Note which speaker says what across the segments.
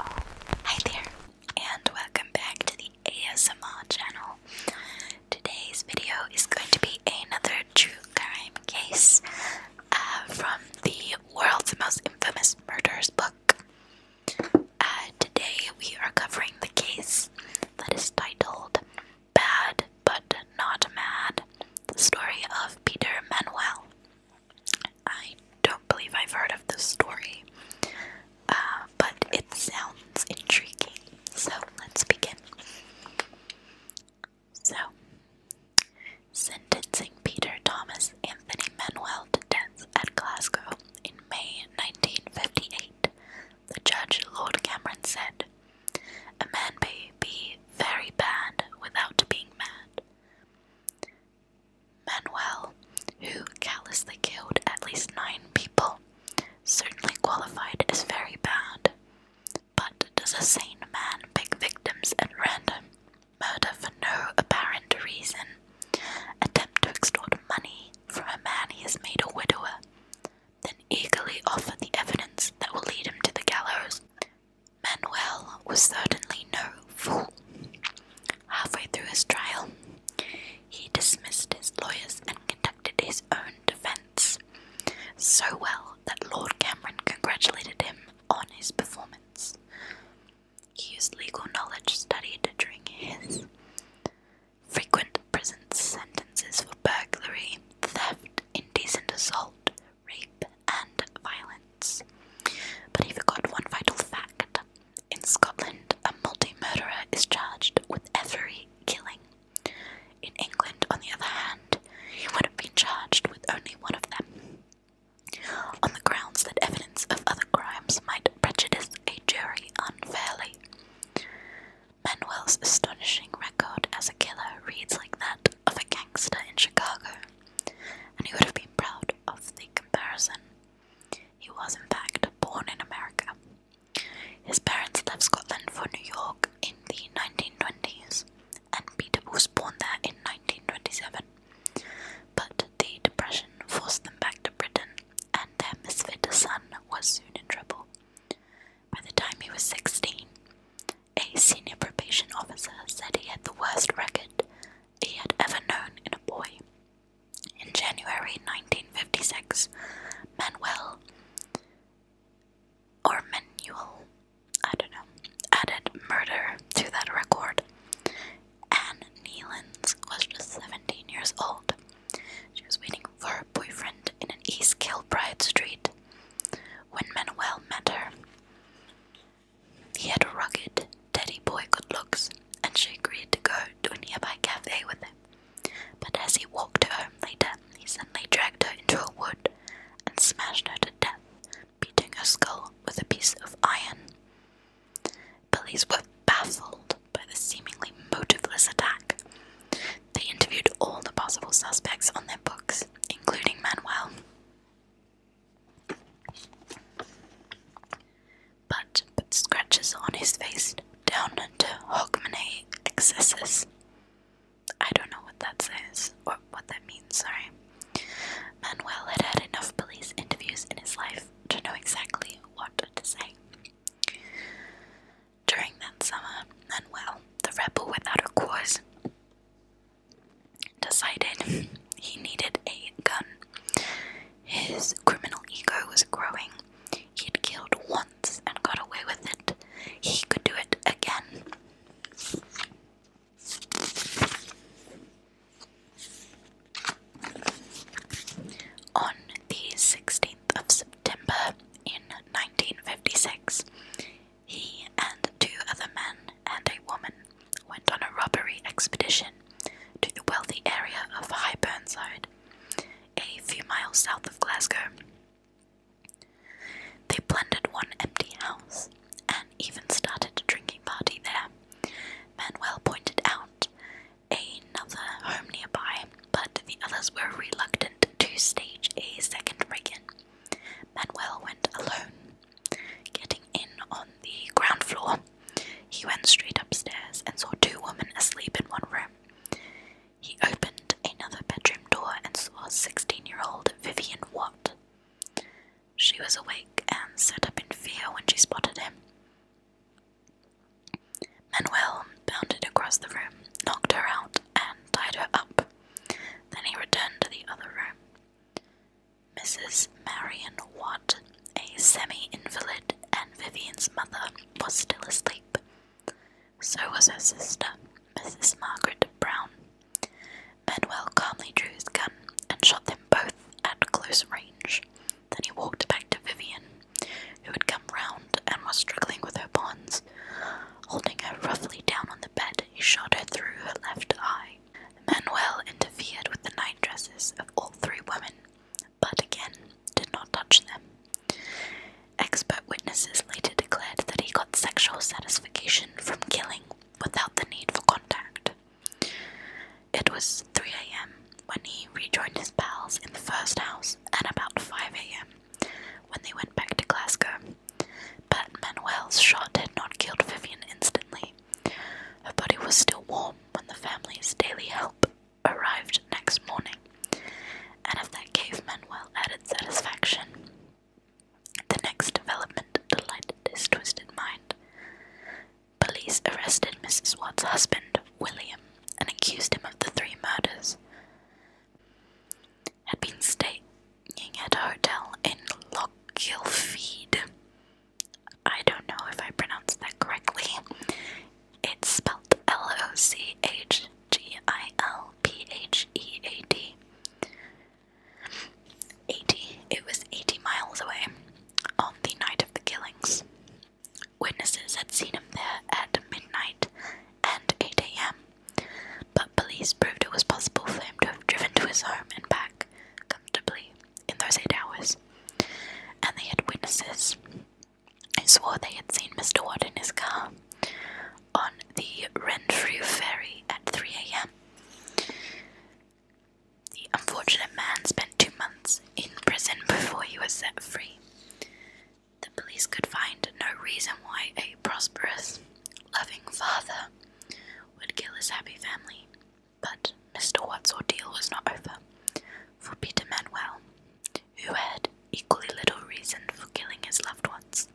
Speaker 1: Hi there, and welcome back to the ASMR channel. Today's video is going to be another true crime case uh, from the world's most infamous murders book. Uh, today we are covering the case that is titled Bad but Not Mad, the story of Peter Manuel. I don't believe I've heard of this story, uh, but it sounds intriguing. So let's begin. So, sentencing Peter Thomas Anthony Manuel to death at Glasgow in May 1958, the judge Lord Cameron said, a man may be very bad without being mad. Manuel, who callously killed at least nine people, certainly qualified as very bad. But does a sane man pick victims at random, murder for no apparent reason, attempt to extort money from a man he has made a widower, then eagerly offered the evidence that will lead him to the gallows. Manuel was certainly no fool. Halfway through his trial, he dismissed his lawyers and conducted his own defense so well that Lord Cameron congratulated him on his performance. He used legal knowledge studied during his Frequent prison sentences for burglary, theft, indecent assault, rape, and violence. But he forgot one vital fact. In Scotland, a multi murderer is charged with every killing. In England, on the other hand, he would have been charged with only one of them, on the grounds that evidence of other crimes might prejudice a jury unfairly. Manuel's astonishing record as a killer reads like that of a gangster in Chicago, and he would have been proud of the comparison. He was, in fact, born in America. His parents left Scotland for New York in the 1920s, and Peter was born there in 1927. But the Depression forced them back to Britain, and their misfit son was soon in trouble. By the time he was 16, a senior probation officer said he had the worst record he had ever known in a boy. In January 1956, Manuel or Manuel, I don't know, added murder to that record. Anne Nealons was just 17 years old. She was waiting for her boyfriend in an East Kilbride street. When Manuel met her, he had a rugged, teddy boy good looks, and she agreed to go to a nearby cafe with him. But as he walked home later, he suddenly dragged her into a wood and smashed her to death, beating her skull with a piece of iron. Police were baffled by the seemingly motiveless attack. They interviewed all the possible suspects on their books, including Manuel. But but scratches on his face down into Hogmanay excesses. I don't know what that says or what that means, sorry. Manuel had had enough police interviews in his life to know exactly what to say during that summer, and well, the rebel without a cause decided he needed a gun. His criminal ego was growing. He'd killed once and got away with it. He could do it again. On the 16th of September in 1956, he and two other men and a woman went on a robbery expedition to the wealthy area of High Burnside, a few miles south of Glasgow. They plundered one empty house and even started a drinking party there. Manuel pointed out another home nearby, but the others were reluctant to stage a second break in. Manuel went alone. Getting in on the ground floor, he went straight upstairs and saw two women asleep in one room. He opened another bedroom door and saw 16 year old Vivian Watt. She was awake and sat up in fear when she spotted him. Manuel bounded across the room, knocked her out, and tied her up. Then he returned to the other room. Mrs. Marion Watt, a semi invalid, and Vivian's mother, was still asleep. So was her sister, Mrs. Margaret Brown. Manuel calmly drew his gun and shot them both at close range. Then he walked back to Vivian, who had come round and was struggling with her bonds. Holding her roughly down on the bed, he shot her through her left eye. Manuel interfered with the night dresses of all three women, but again did not touch them. Expert witnesses later declared that he got sexual satisfaction from killing without the need for contact. It was 3 a.m. when he rejoined his pals in the first house, and about 5 a.m. when they went back to Glasgow. But Manuel's shot had not killed Vivian instantly. Her body was still warm when the family's daily help arrived next morning, and of that gave Manuel added satisfaction. The next development delighted his twisted mind. Police arrested Mrs. Watt's husband, William, and accused him of the three murders. Had been staying at a hotel in Lochgilfeed. I don't know if I pronounced that correctly. It's spelled L O C H G I L P H E A D. 80. It was 80 miles away on the night of the killings. Witnesses had seen him there at midnight and 8 am, but police proved it was possible for him to have driven to his home and back comfortably in those 8 hours. And they had witnesses who swore they had seen Mr. Watt in his car on the Renfrew ferry at 3 am. The unfortunate man spent two months in prison before he was set free. The police could find no reason why a prosperous, loving father would kill his happy family. But Mr. Watt's ordeal was not over, for Peter Manuel, who had equally little reason for killing his loved ones,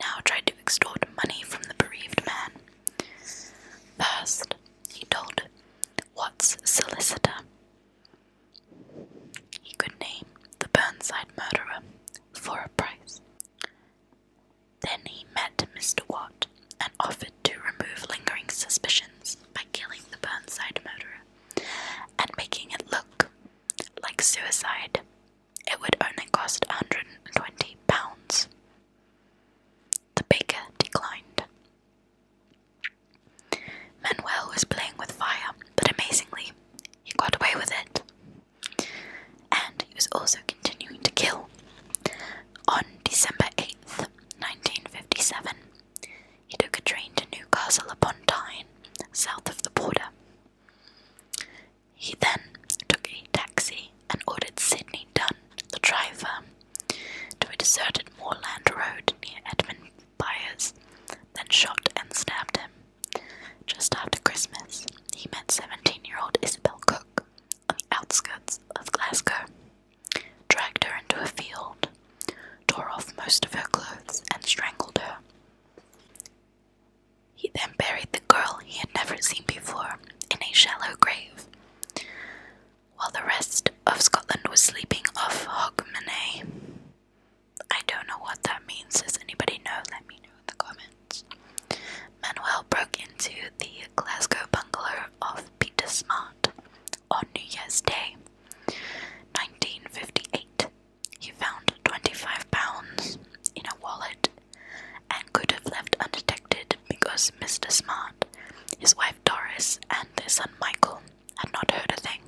Speaker 1: now tried to extort money from the bereaved man First, he told Watt's solicitor he could name the Burnside murderer for a price. Then he met Mr. Watt and offered to remove lingering suspicions by killing the Burnside murderer and making it look like suicide. It would only cost £120. The baker declined. Manuel was playing with fire, but amazingly, he got away with it. And he was also continuing to kill. On December 8th, 1957, he took a train to Newcastle upon Tyne, south of the border. He then took a taxi and ordered Sydney Dunn, the driver, to a deserted moorland road near Edmund Byers, then shot and stabbed him. Just after Christmas, he met 17 year old Isabel Cook on the outskirts of Glasgow, dragged her into a field, tore off most of her clothes, and strangled her. He then buried the girl he had never seen before in a shallow grave, while the rest of Scotland was sleeping off Hogmanay. I don't know what that means. Does anybody know? Let me know in the comments. Manuel broke into the Glasgow bungalow of Peter Smart on New Year's Day, 1958. He found 25 pounds in a wallet and could have left undetected because Mr. Smart, his wife Doris, and their son Michael had not heard a thing.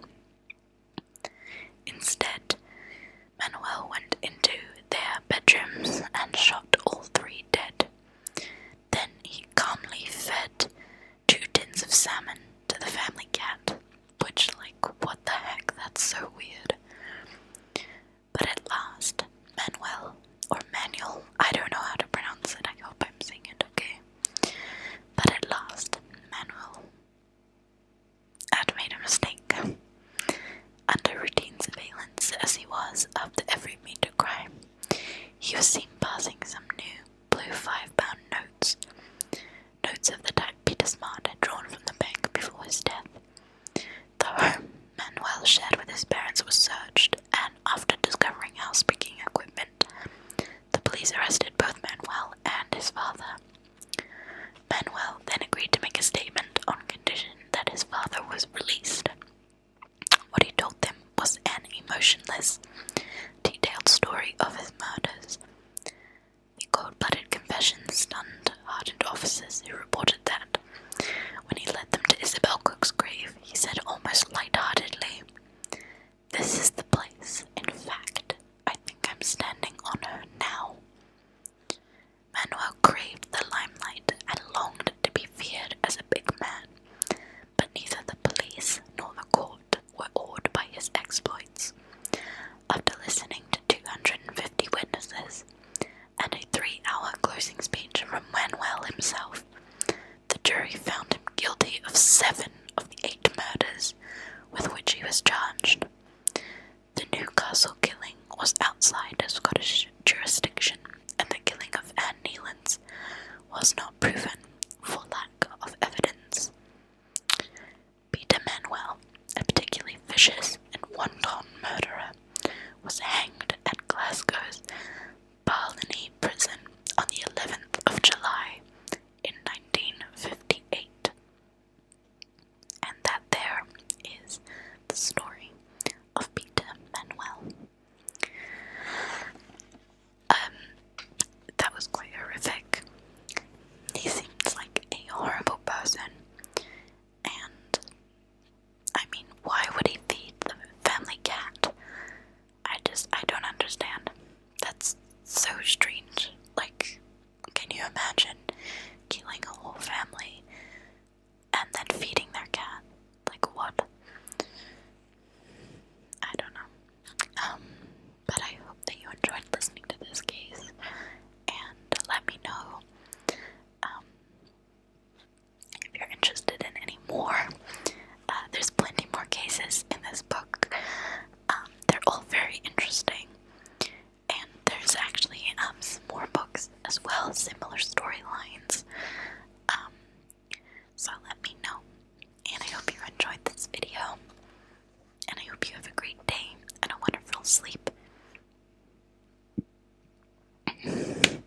Speaker 1: Instead, Manuel went into their bedrooms and shot all three dead. Then he calmly fed two tins of salmon to the family cat, which, like, what the heck, that's so weird. But at last, Manuel or Manuel, I don't know how to pronounce it, I hope I'm saying it okay. But at last, Manuel had made a mistake. Under routine surveillance as he was after every major crime, he was seen passing some new blue five pound notes. Notes of the type Peter Smart had drawn from the bank before his death. The home Manuel shared with his parents was searched, and after discovering house picking equipment, the police arrested both Manuel and his father. Manuel then agreed to make a statement on condition that his father was released. What he told them was an emotionless, detailed story of his murders. The cold-blooded confession stunned hardened officers who reported that, when he led them to Isabel Cook's grave, he said almost light-heartedly, "This is the place. In fact, I think I'm standing on her now." Manuel craved the limelight and longed to be feared as a big man, but neither the police nor the court were awed by his exploits after listening to 250 witnesses and a three hour closing speech from Wenwell himself, the jury found him guilty of seven of the eight murders with which he was charged. The Newcastle killing was outside Scottish jurisdiction, and the killing of Anne Nealance was not proven for lack of evidence. Peter Manuel, a particularly vicious and wanton murderer, was hanged at Glasgow's Barliney prison on the 11th of July in 1958. And that there is the story of Peter Manuel. Um, that was quite horrific. He seems like a horrible person, and I mean, why would he feed the family cat? I just, I don't understand. That's so strange. Like, can you imagine killing a whole family and then feeding their cat? Like, what? I don't know. Um, but I hope that you enjoyed listening to this case and let me know um, if you're interested in any more. Uh, there's plenty more cases in this book. Um, they're all very interesting, and there's actually um, some more books as well, similar storylines. Um, so let me know, and I hope you enjoyed this video and I hope you have a great day and a wonderful sleep. and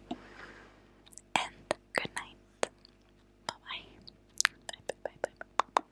Speaker 1: good night. Bye bye.